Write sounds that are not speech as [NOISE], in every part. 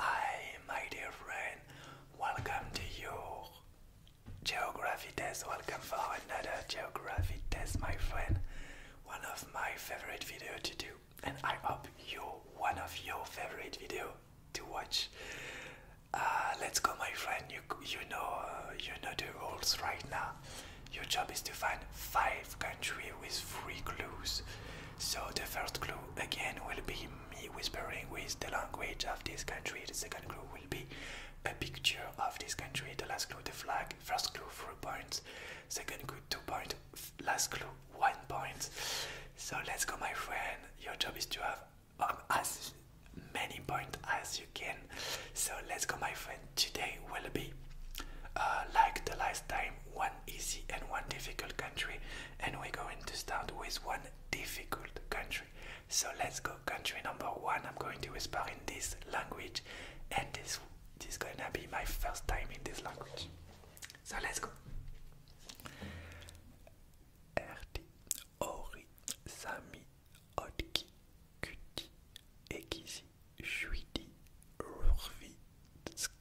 Hi, my dear friend, welcome to your geography test. Welcome for another geography test, my friend. One of my favorite video to do, and I hope you one of your favorite video to watch. Uh, let's go, my friend. You you know uh, you know the rules right now. Your job is to find five countries with three clues. So the first clue again will be me whispering with the language of this country. The second clue will be a picture of this country. The last clue, the flag. First clue, three points. Second clue, two points. Last clue, one point. So let's go, my friend. Your job is to have um, as many points as you can. So let's go, my friend. Today will be uh, like the last time, one easy and one difficult country and we're going to start with one difficult country. So let's go. Country number one, I'm going to whisper in this language, and this, is gonna be my first time in this language. So let's go.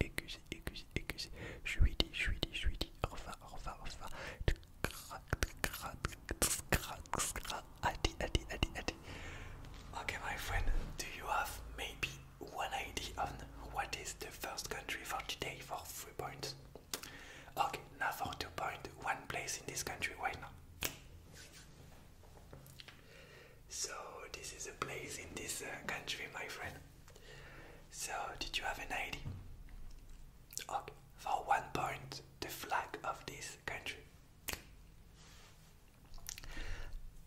excuse! aiguisé, aiguisé. Chuidi, chuidi, chuidi. Orva, orva, orva. Crac, crac, crac, crac. Adi, adi, adi, adi. Okay, my friend, do you have maybe one idea on what is the first country for today for three points? Okay, now for two points, one place in this country right now. So, this is a place in this uh, country, my friend. So, did you have an idea? Okay, for one point, the flag of this country.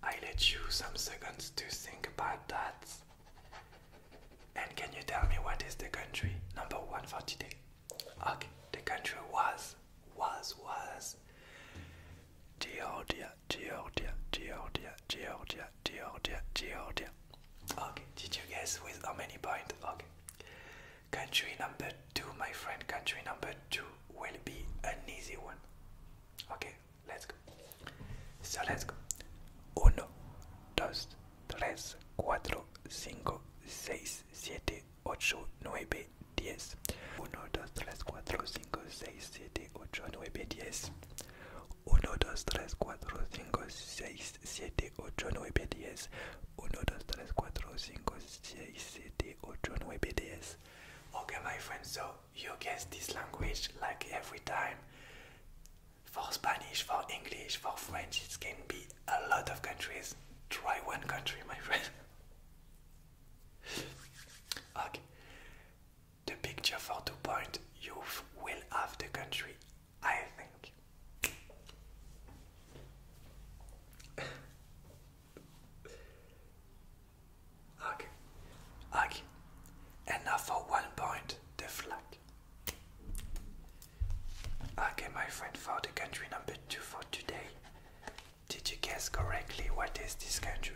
I let you some seconds to think about that. And can you tell me what is the country number one for today? Okay, the country was, was, was Georgia. Georgia, Georgia, Georgia, Georgia, Georgia. Okay, did you guess with how many points? Okay. Country number two, my friend, country number two will be an easy one. Okay, let's go. So let's go. Uno, dos, tres, cuatro, cinco, seis, siete, ocho, nueve, diez. Uno, dos, tres, cuatro, cinco, seis, 1, 2, 3, 4, 5, 6, 7, 8, 9, 10. 1, 2, 3, 4, 5, 6, 7, 8, 9, 10. Okay, my friend. so you guess this language like every time. For Spanish, for English, for French, it can be a lot of countries. Try one country, my friend. [LAUGHS] okay the picture for two point youth will have the country, I think. [LAUGHS] okay. Okay. And now for one point the flag. Okay my friend for the country number two for today. Did you guess correctly what is this country?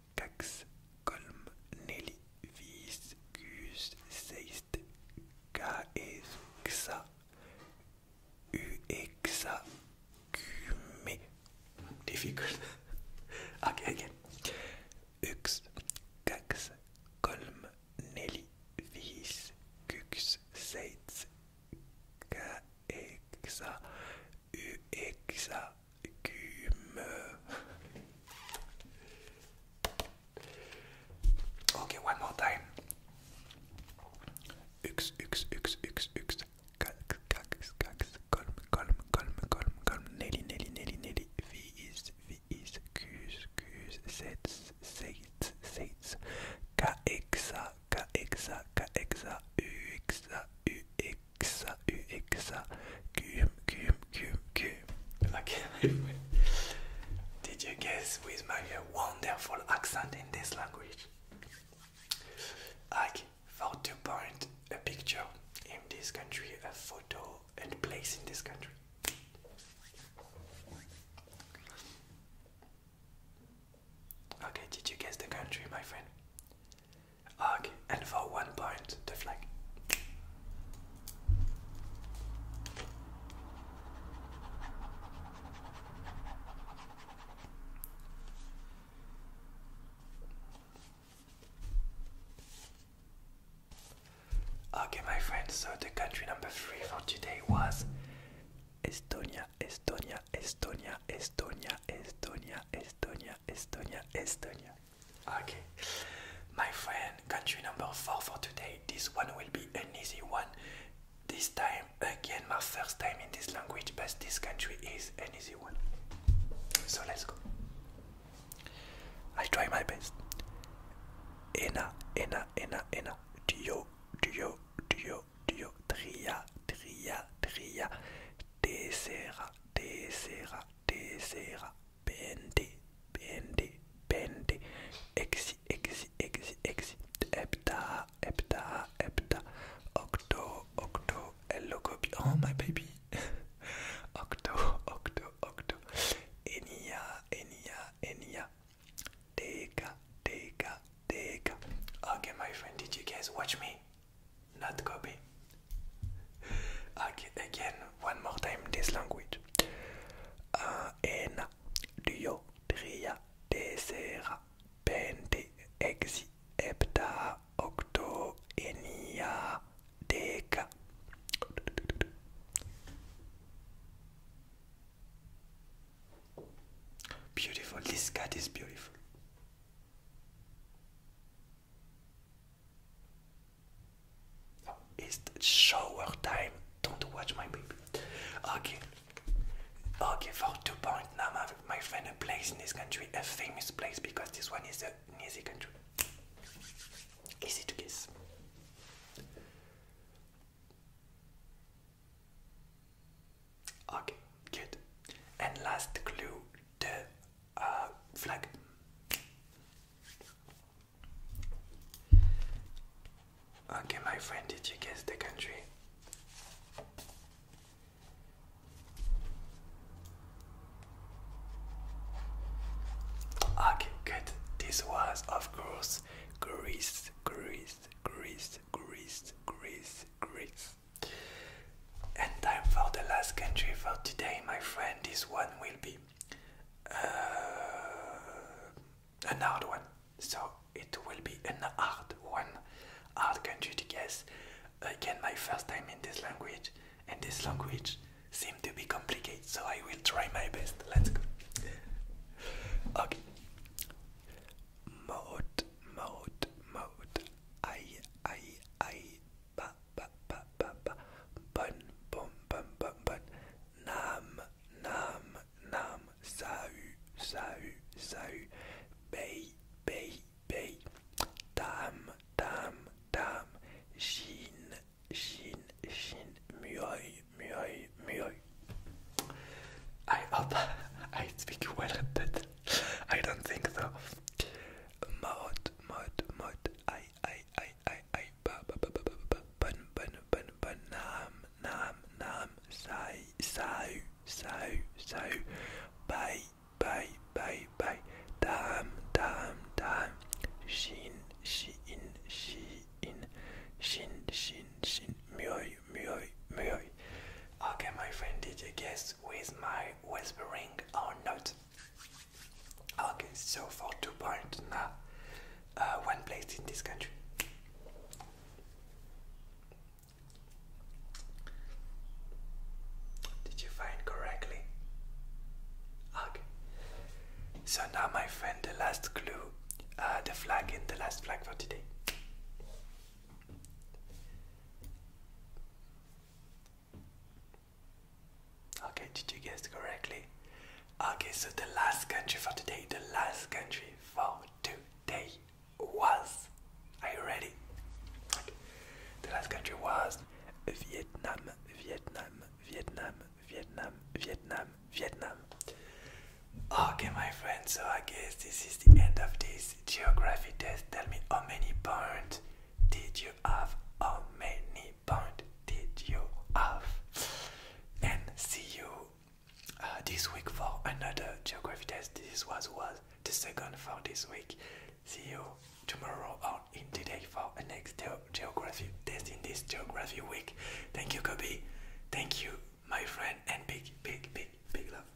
Kax, Kolm, Nelly, Vis, Gus, Seist, Kaes, Xa, Uexa, Kume. Difficult. [LAUGHS] okay, again. Ux, Kax, Kolm, Nelly, Vis, Kux, Seitz, Kaexa, Uexagume. Okay, one more time. Ux, ux, ux, ux, ux. Cax, Nelly, nelly, nelly, nelly. V is, V is. Sets, sets, sets. Caexa, xa, u, cum, cum, cum, cum. Okay, did you guess with my wonderful accent in this language? Like, for to point a picture in this country, a photo and place in this country. Okay, did you guess the country, my friend? Okay, and for one point, the flag. Okay, my friends, so the country number three for today was Estonia, Estonia, Estonia, Estonia, Estonia, Estonia, Estonia, Estonia, Okay, my friend, country number four for today. This one will be an easy one. This time, again, my first time in this language, but this country is an easy one. So let's go. i try my best. Ena, ena, ena, ena. Dio, dio, dio, dio. Tria, tria, tria. Desera, desera, desera, bende, bende, bende, exi, exi, exi, exi, hepta, hepta, hepta, octo, octo, hello copy, oh my baby, [LAUGHS] octo, octo, octo, enia, enia, enia, deka, deka, deka. Okay, my friend, did you guys watch me? not copy. [LAUGHS] again, one more time this language. Ένα, δύο, τρία, τέσσερα, πέντε, έξι, επτά, οκτώ, εννιά, δέκα. Beautiful. This cat is beautiful. Oh, it's shower time. Don't watch my baby. Okay. Okay, for two points, now my friend a place in this country, a famous place because this one is a easy country. Easy to guess. Okay, good. And last clue, the uh, flag. Okay, my friend, did you guess the country? Okay, good. This was, of course, Greece, Greece, Greece, Greece, Greece, Greece. And time for the last country for today, my friend. This one will be uh, an hard one. So it will be an hard one, hard country to guess. Again, my first time in this language, and this language seems to be complicated, so I will try my best. Let's go. okay. Mode, mode, mode. Ay, ay, ay, ba, ba, ba, ba, ba, bun, bun, bun, bun, bun, nam, nam, nam, sau, sau, sau, bay, bay, bay, dam, dam, dam, shin, shin, shin, mjöj, mjöj, mjöj. I hope I speak well at that. I don't think so. Mod, mod, mod. I, I, I, I, I. Ba, ba, ba, ba, ba, ba. Ban, ban, ban, ban. Nam, nam, nam. Sai, sai, sai, sai. Bye, bye, bye, bye. Dam, dam, dam. Shin, shin, shin. Shin, shin, shin. Mjöj, mjöj, mjöj. Okay, my friend, did you guess with my whispering or not? Okay, so for two points now, uh, one place in this country. Did you find correctly? Okay. So now, my friend, the last clue, uh, the flag, and the last flag for today. Okay, did you guess correctly? Okay, so the last country for today, the last country for today was. Are you ready? Okay. The last country was Vietnam, Vietnam, Vietnam, Vietnam, Vietnam, Vietnam. Okay, my friends, so I guess this is the end of this geography test, tell me how many points did you have? How many points did you have? And see you uh, this week for another geography test. This was, was the second for this week. See you tomorrow or in today for the next geography test in this geography week. Thank you, Kobe. Thank you, my friend, and big, big, big, big love.